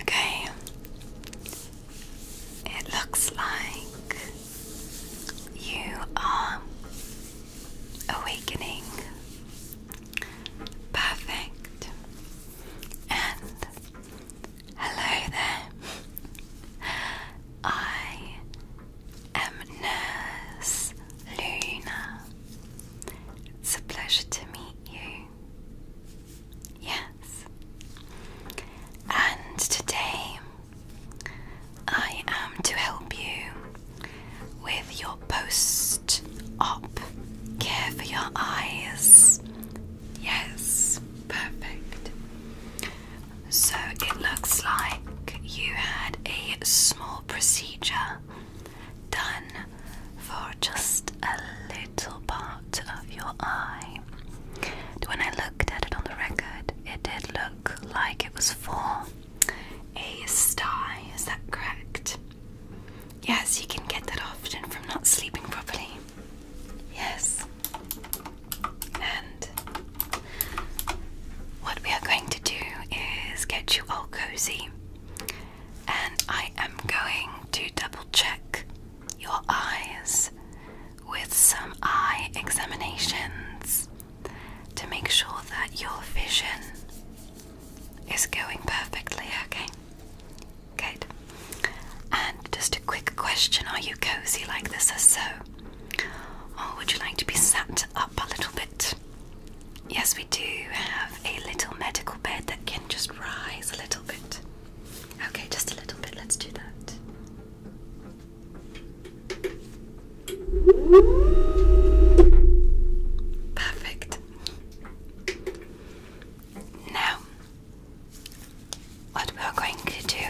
Okay, it looks like you are awakening. Perfect. And hello there. I am Nurse Luna. It's a pleasure to meet you. Yes. And today I am to help you with your post op care for your eyes. Yes, perfect. So it looks like you had a small procedure done for just a little part of your eye. When I looked at it on the record, it did look like it was for a star. Is that correct? Yes, you can get that often from not sleeping properly. Yes. And what we are going to do is get you all cozy and I am going to double check your eyes with some eye examinations to make sure that your vision is going perfectly, okay? Good. And just a quick question are you cozy like this or so? Or would you like to be sat up a little bit? Yes, we do have a little medical bed that can just rise a little bit. Okay, just a little bit. Let's do that. Perfect. Now, what we are going to do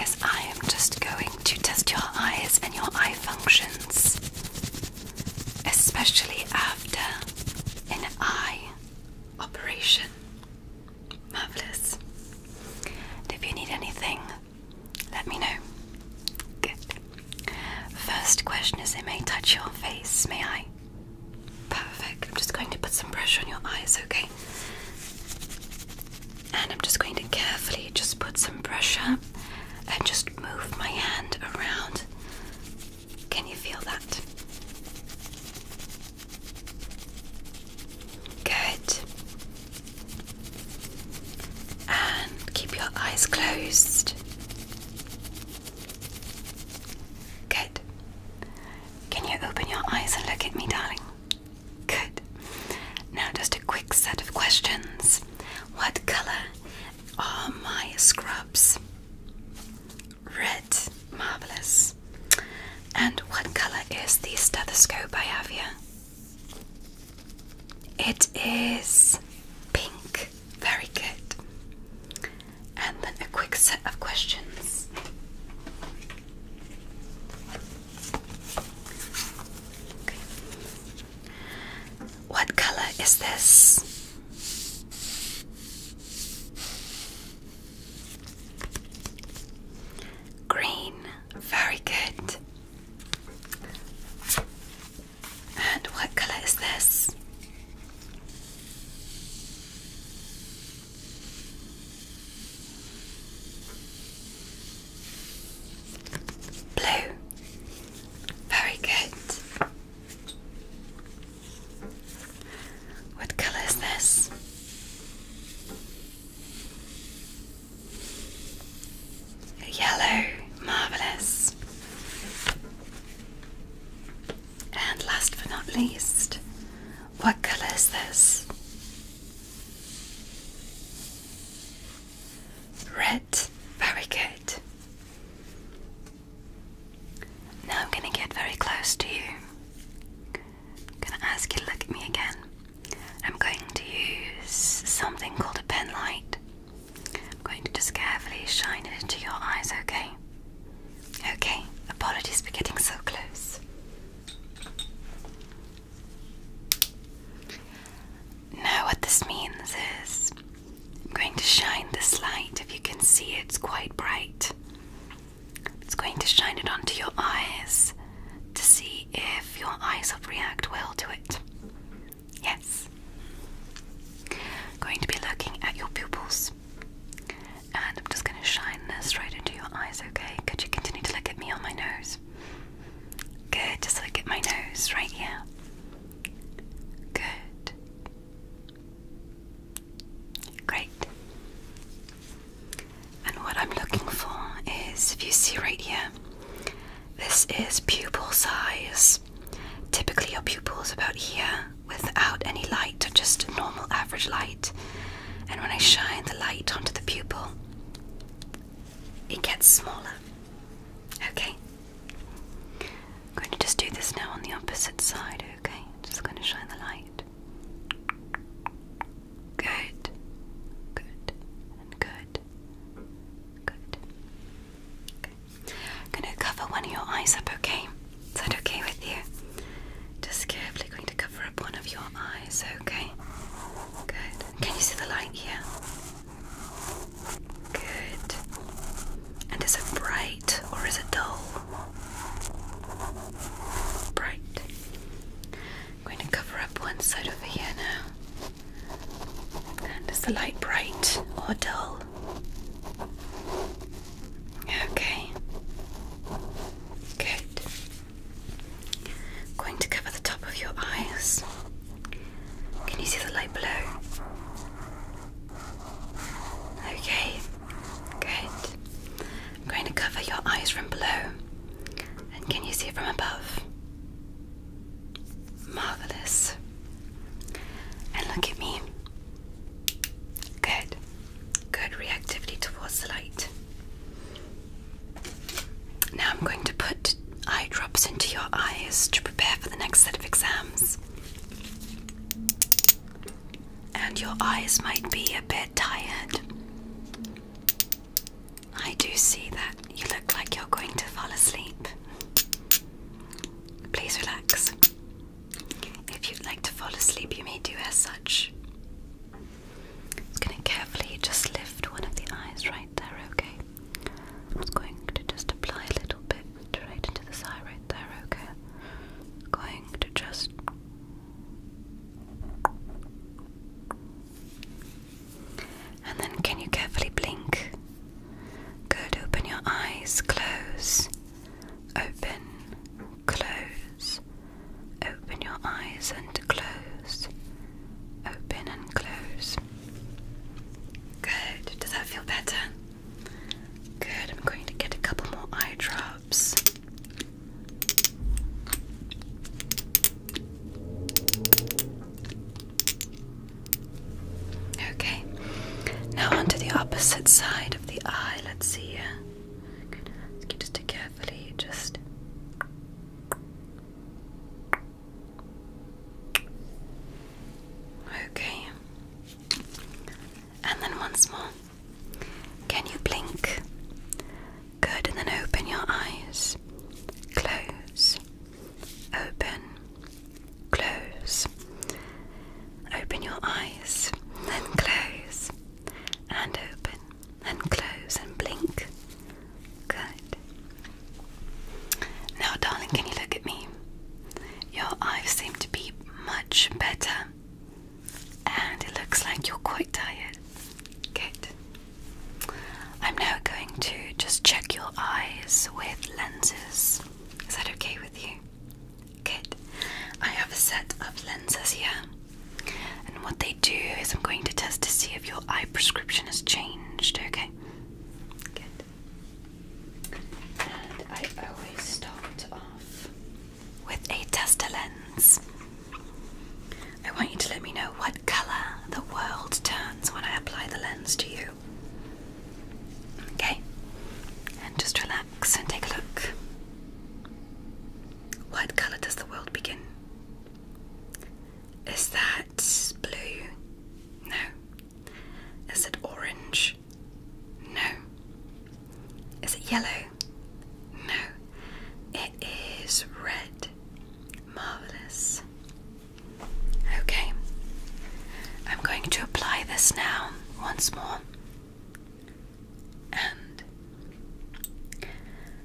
is I am just going to test your eyes and your eye functions especially after an eye operation. Marvelous. if you need anything, let me know. Good. First question is it may touch your face, may I? Perfect. I'm just going to put some pressure on your eyes, okay? And I'm just going to carefully just put some pressure and just move my hand around. Can you feel that? Good. And keep your eyes closed. Good. Can you open your eyes and look at me, darling? Good. Now, just a quick set of questions. What color all my scrubs. Red, marvelous. And what color is the stethoscope I have here? It is pink. Very good. And then a quick set of questions. What color is this? Green, very good. And what color is this? Blue, very good. What color is this? Yellow, marvelous. And last but not least, what color is this? Red, very good. Now I'm gonna get very close to you. I'm gonna ask you to look at me again. I'm going to use something called a penlight. I'm going to just carefully shine it into your eyes, okay? Okay, apologies for getting so close. Now, what this means is I'm going to shine this light. If you can see, it's quite bright. It's going to shine it onto your eyes to see if your eyes will react well to it. Yes. I'm going to be looking at your pupils. And I'm just going to shine this right into your eyes, okay? Could you continue to look at me on my nose? Good, just look at my nose right here. Good. Great. And what I'm looking for is if you see right here, this is pupil size. Typically, your pupil is about here without any light, or just normal average light. And when I shine the light onto the pupil, it gets smaller. Okay, I'm going to just do this now on the opposite side, okay? Just going to shine the light. Good, good, good, good. Okay. going to cover one of your eyes up, okay? Is that okay with you? Just carefully going to cover up one of your eyes, okay? Good. Can you see the light here? Good. And is it bright or is it dull? Bright. I'm going to cover up one side over here now. And is the light bright or dull? Okay. Good. I'm going to cover the top of your eyes. Can you see the light below? Okay, good. I'm going to cover your eyes from below. And can you see it from above? Marvellous. And look at me. Good. Good reactivity towards the light. Now I'm going to put eye drops into your eyes to prepare for the next set of exams. And your eyes might be a bit tired. I do see that you look like you're going to fall asleep. Please relax. If you'd like to fall asleep, you may do as such. I'm gonna carefully just lift one of the eyes right there, okay? I'm going to just apply a little bit straight into the eye right there, okay? going to just and then can you carefully blink? Good, open your eyes, close, open, close, open your eyes and close, open and close. Good, does that feel better? Good, I'm going to get a couple more eye drops. Okay, now onto the opposite side of the eye. Let's see here. Let's get just to carefully just Okay. And then once more. Can you blink? Good, and then open your eyes. Close. Open. Close. Open your eyes. Then close. And open. And close and blink. Good. Now, darling, can you look at me? Your eyes seem to be much better, and it looks like you're quite tired. Good. I'm now going to just check your eyes with lenses. Is that okay with you? Good. I have a set of lenses here, and what they do is I'm going to test to see if your eye prescription has changed. Okay. And I always start off with a tester lens. I want you to let me know what colour the world turns when I apply the lens to you. Okay? And just relax and take a look. What colour does the world begin? Is that blue? No. Is it orange? No. Is it yellow? No. It is red. Marvellous. Okay. I'm going to apply this now once more. And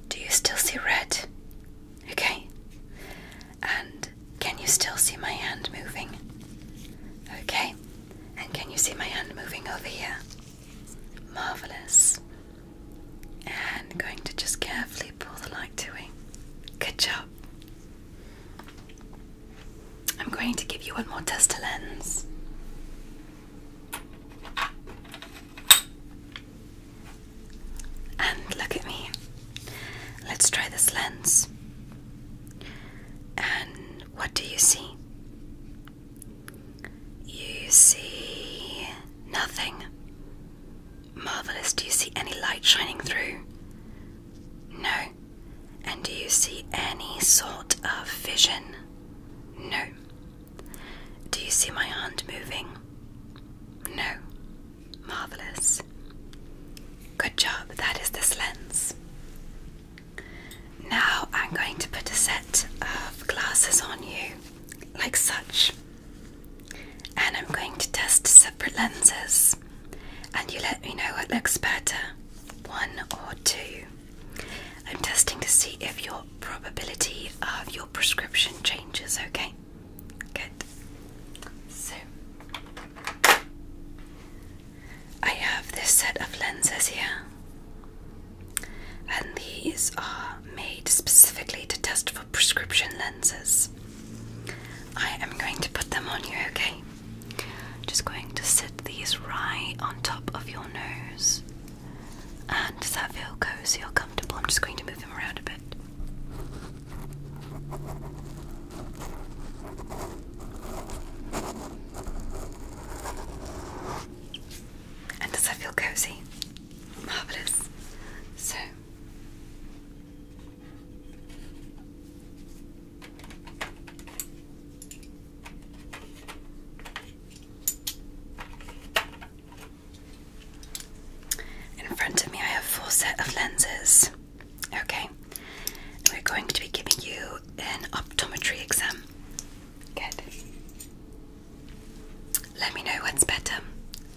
do you still see red? Okay. And can you still see my hand moving? Okay. And can you see my hand moving over here? Marvelous. And I'm going to just carefully pull the light to it. Good job. I'm going to give you one more tester lens. And look at me. Let's try this lens. And what do you see? You see nothing. Marvelous. Do you see any light shining through? No. And do you see any sort of vision? No. Do you see my hand moving? No. Marvelous. Good job, that is this lens. Now I'm going to put a set of glasses on you, like such. And I'm going to test separate lenses, and you let me know what looks better one or two. I'm testing to see if your probability of your prescription changes, okay? Good. So, I have this set of lenses here, and these are made specifically to test for prescription lenses. I am going to put them on you, okay? Just going to sit these right on top of your nose. And does that feel cozy or comfortable? I'm just going to move them around a bit. And does that feel cozy? Marvelous. So in front of me I have a full set of lenses. Okay, we're going to be giving you an optometry exam. Good. Let me know what's better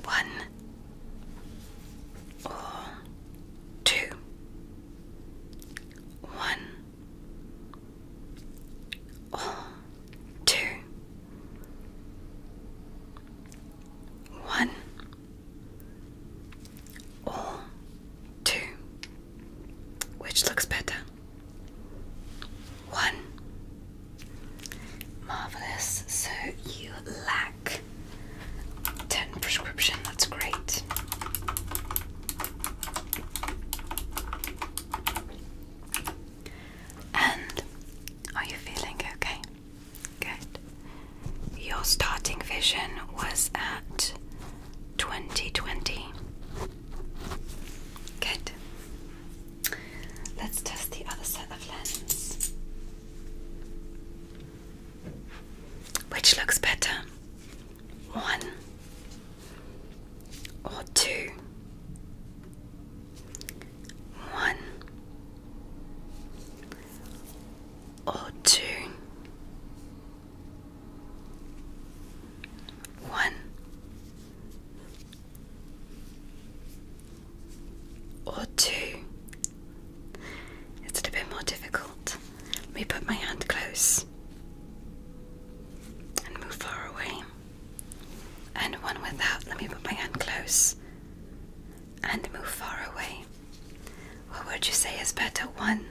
one or two. One or two. One or which looks better 1 marvelous so you lack 10 prescription that's great and are you feeling okay? Good. Your starting vision was at 2020. Good. Let's test the other set of lenses. Which looks better? One or two? One or two? One. Or two. Is it a bit more difficult? Let me put my hand close and move far away. And one without. Let me put my hand close and move far away. What would you say is better, one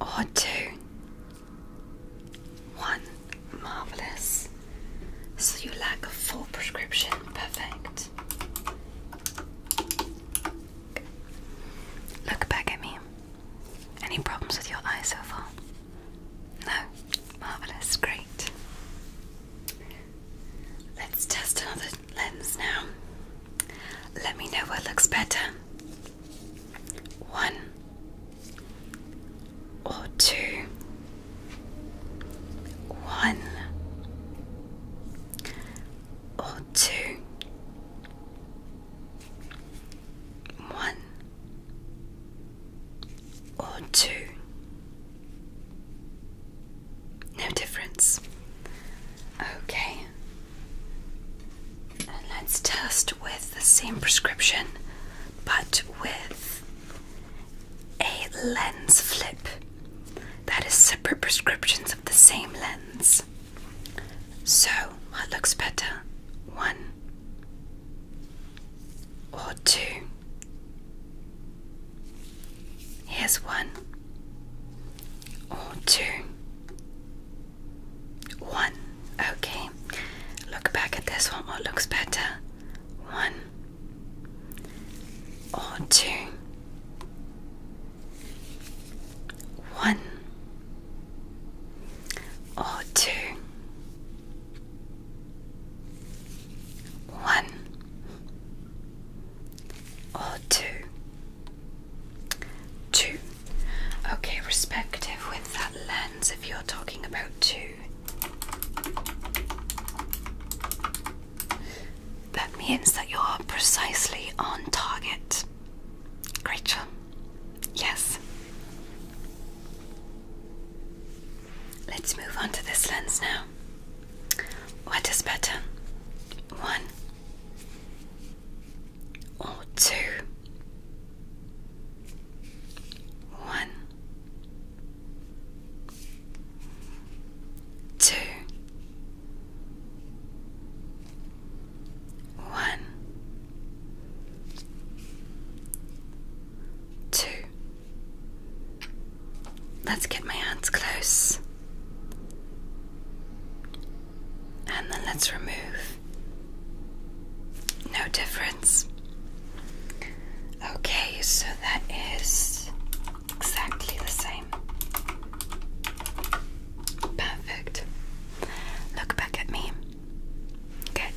or two? One. Marvelous. So you lack a full prescription. Perfect. Look back at me. Any problems with your eyes so far? No. Marvelous. Great. Let's test another lens now. Let me know what looks better. One or two. One or two. One or two. No difference. Okay. let's test with the same prescription but with a lens flip. That is separate prescriptions of the same lens. So, what looks better? One or two? Here's one or two? One. Okay. Look back at this one. What looks better? One or two? One or two? One or two? Two. Okay, respective with that lens if you're talking about two. That means that you're precisely on target. Great Yes. Let's move on to this lens now. What is better? One or two, one, two, one, two. Let's get my hands close. And then let's remove. No difference. Okay, so that is exactly the same. Perfect. Look back at me. Good.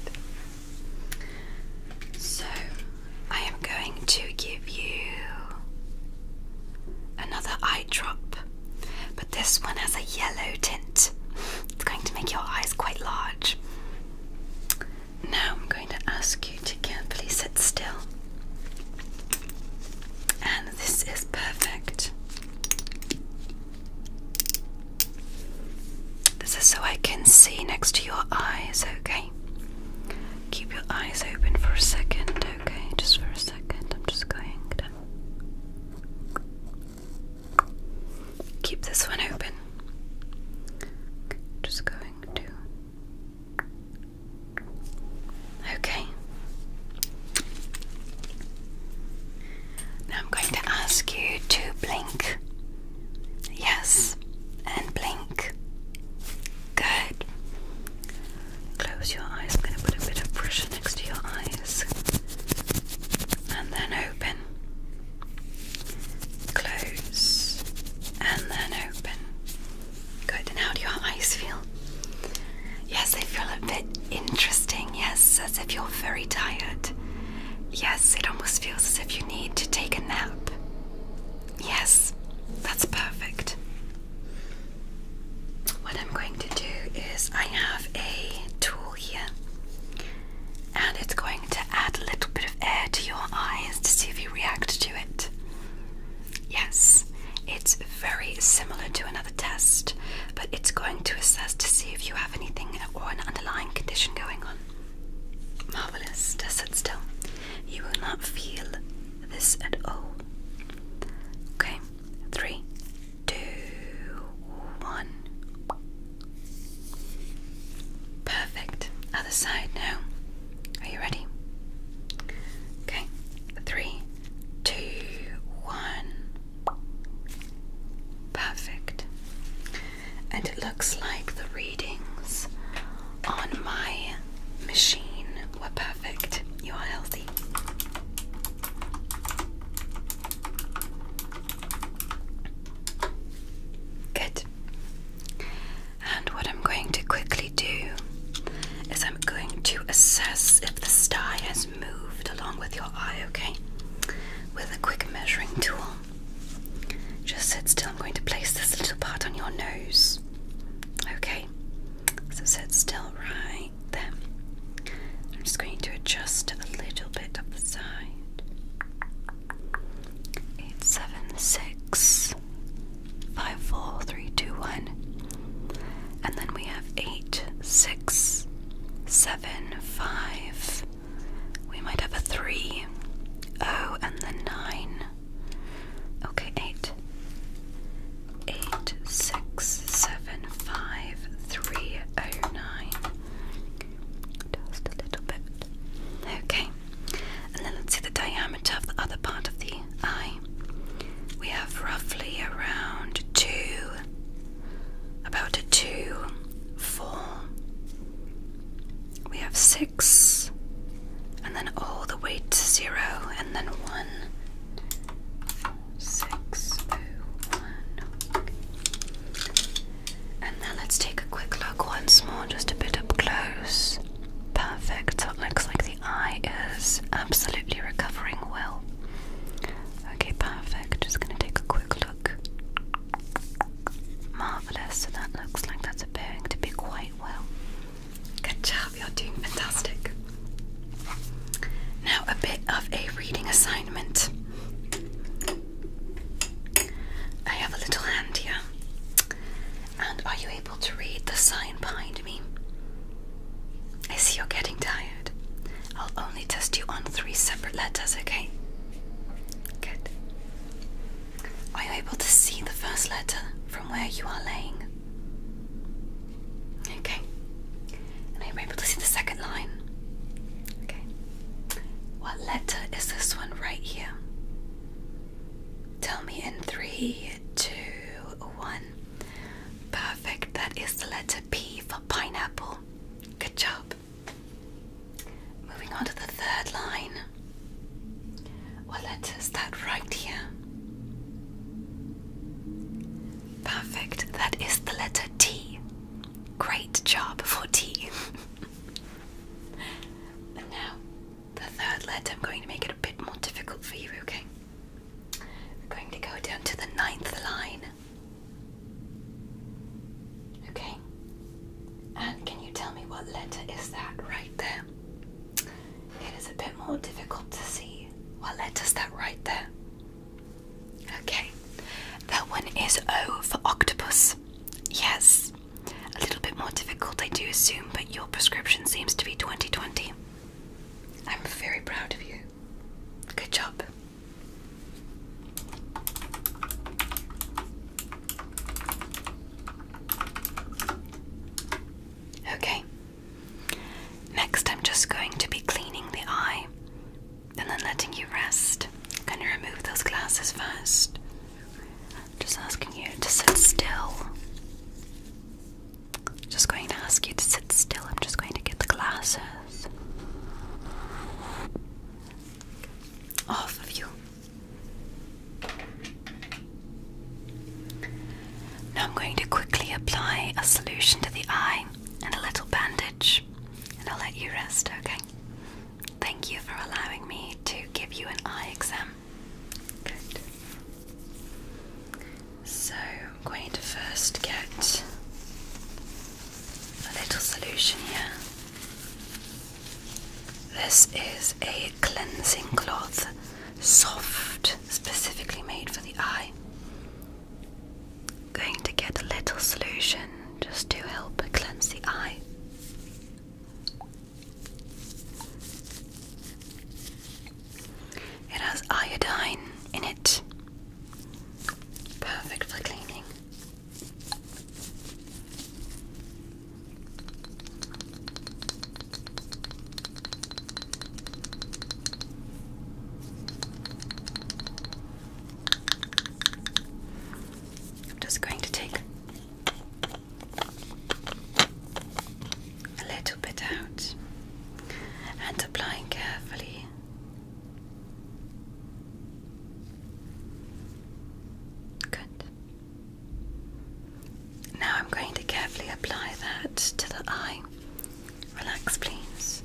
So, I am going to give you another eye drop. But this one has a yellow tint. It's going to make your eyes quite large. Now I'm going to ask you to carefully sit still. And this is perfect. This is so I can see next to your eyes, okay? Keep your eyes open for a second, okay? Just for a second. I'm just going to Keep this one open. Just going to. Okay. Now I'm going to ask you to blink. Yes, and blink. Good. Close your eyes. I'm going to put a bit of pressure next to your eyes. And then open. Close. And then open. Good. And how do your eyes feel? Yes, they feel a bit interesting. Yes, as if you're very tired. Yes, it almost feels as if you need to take a nap. Yes, that's perfect. What I'm going to do is I have a tool here and it's going to add a little bit of air to your eyes to see if you react to it. Yes, it's very similar to another test, but it's going to assess to see if you have anything or an underlying condition going on. Marvelous. Just sit still. You will not feel this at all. Okay three, two, one. Perfect. Other side now. Are you ready? Okay. Three, two, one. Perfect. And it looks like the readings on my machine were perfect. Perfect. You are healthy. Good. And what I'm going to quickly do is I'm going to assess if the sty has moved along with your eye, okay? With a quick measuring tool. Just sit still. I'm going to place this little part on your nose. Okay? So sit still, right? like I'm just going to adjust a little bit of the side. Eight, seven, six, five, four, three, two, one. And then we have eight, six, seven, five. We might have a three, oh, and then nine. Okay, eight, eight six seven five three oh nine. Just a little bit. Okay. And then let's see the diameter of the other part of the eye. We have roughly around two, about two, four. We have six, and then all the way to zero, and then one six oh one. And now let's take a quick look once more, just a bit up close. Perfect. So it looks like the eye is absolutely recovering well. Okay, perfect. Just gonna take a quick look. Marvelous. So that looks like that's appearing to be quite well. Good job. You're doing fantastic. Now, a bit of a reading assignment. I have a little hand here. And are you able to read the sign behind me? I see you're getting tired. I'll only test you on three separate letters, okay? Good. Are you able to see the first letter from where you are laying? Okay. And I'm able to see the second line. Okay. What letter is this one right here? Tell me in three, two, one. Perfect. That is the letter P for pineapple. Good job. Moving on to the third line. What letter is that right here? Perfect. That is the letter T. Great job for T. and now, the third letter, I'm going to make it a bit more difficult for you, okay? We're going to go down to the ninth line. Okay? And can you tell me what letter is that right there? It is a bit more difficult to see. What letter is that right there? Okay, that one is O for octopus. Yes, a little bit more difficult, I do assume, but your prescription seems to be 2020. I'm very proud of you. Good job. Okay, Next, I'm just going to be cleaning the eye and then letting you rest. Going to remove those glasses first? Just asking you to sit still. Just going to ask you to sit still. I'm just going to get the glasses off of you. Now I'm going to quickly apply a solution to the eye and a little bandage, and I'll let you rest, okay? Thank you for allowing me to give you an eye exam. Good. So, I'm going to first get a little solution here. This is a cleansing cloth, soft, specifically made for the eye. I'm going to get a little solution just to help cleanse the eye. It has iodine in it. Perfect for cleaning. I'm just going to take a little bit out and applying carefully. Good. Now I'm going to carefully apply that to the eye Relax, please.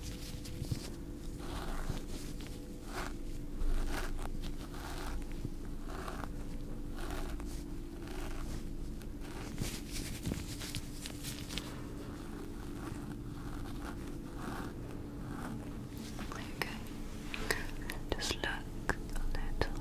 Okay. Just look a little.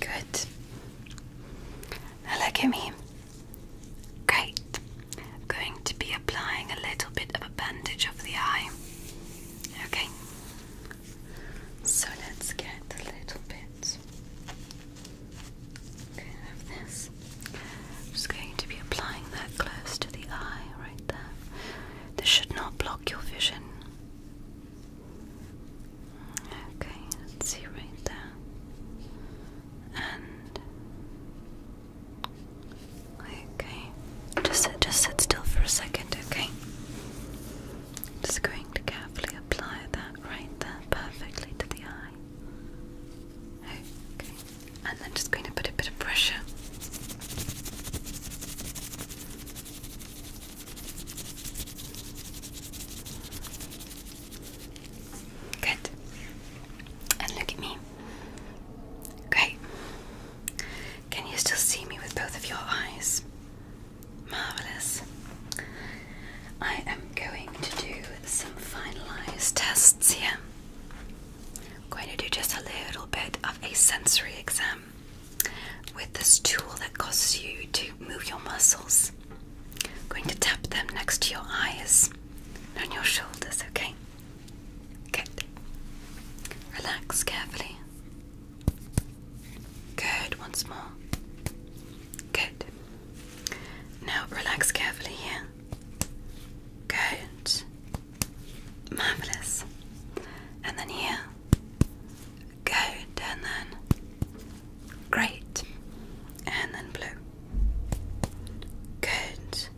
Good. look at me. Great. I'm going to be applying a little bit of a bandage over the eye. Okay. So let's get a little bit. Okay, this. I'm just going to be applying that close to the eye right there. This should not block your vision. Okay, let's see right there. And okay, just sit, just sit still for a second, okay? Just going to carefully apply that right there, perfectly to the eye. Okay, and then just going to put a bit of pressure. Good. And look at me. Great. Can you still see me with both of your eyes? Marvellous. I am going to do some finalized tests here. I'm going to do just a little bit of a sensory exam with this tool that causes you to move your muscles. I'm going to tap them next to your eyes and your shoulders, okay? Good. Relax carefully. Good, once more. Good. Now relax carefully here. Good. Marvelous. And then here. Good. And then. Great. And then blue. Good.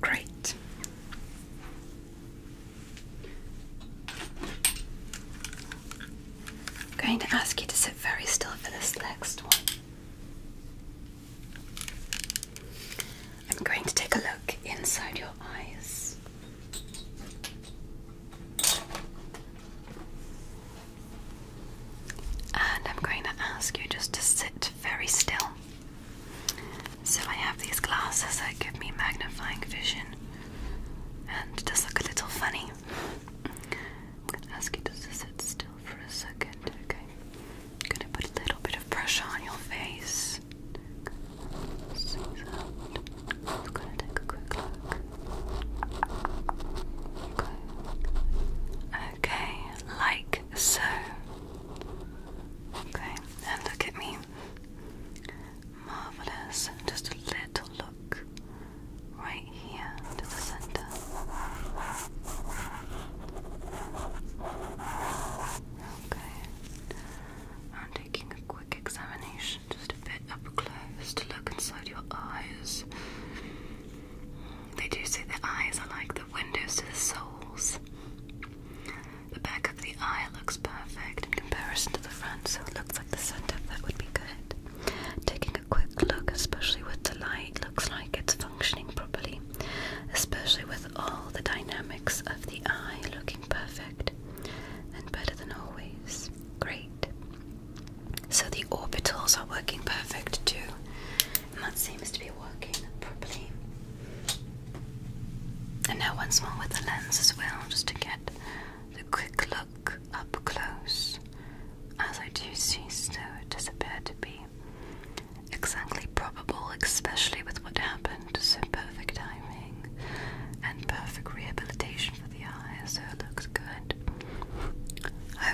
Great. I'm going to ask you to sit very still for this next one. I'm going to take a look inside your eyes. And I'm going to ask you just to sit very still. So I have these glasses that give me magnifying vision, and it does look a little funny. I'm gonna ask you to sit still for a second, okay? I'm gonna put a little bit of pressure on your face. So I'm gonna take a quick look. Okay. Okay, like so. Okay, and look at me. Marvelous. Just a little look right here to the center. Okay. I'm taking a quick examination, just a bit up close to look inside your eyes. They do say the eyes are like the windows to the souls. The back of the eye looks perfect in comparison to the front, so it looks like the center. That would be good. Taking a quick look, especially with the light, looks like it's functioning properly, especially with all the dynamics of the eye looking perfect and better than always. Great. So the orbitals are working perfect too, and that seems to be working properly. And now once more with the lens as well, just to get the quick look up close. As I do see, so it does appear to be exactly probable, especially with what happened. So perfect timing and perfect rehabilitation for the eye, so it looks good.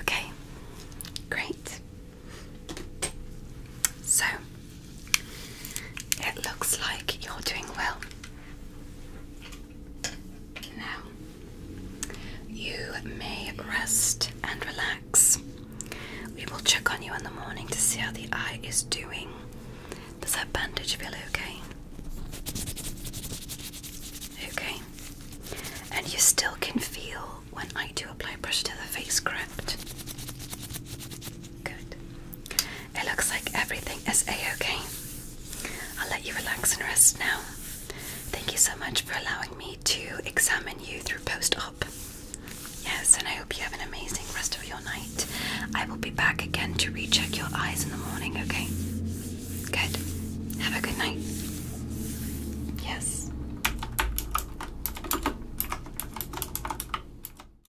Okay, great. So it looks like you're doing well. Now, you may rest and relax. We will check on you in the morning to see how the eye is doing. Does that bandage feel okay? Okay. And you still can feel when I do apply pressure to the face, correct? Good. It looks like everything is a-okay. I'll let you relax and rest now. Thank you so much for allowing me to examine you through post-op. Yes, and I hope you have an amazing rest of your night. I will be back again to recheck your eyes in the morning, okay? Good. Have a good night. Yes.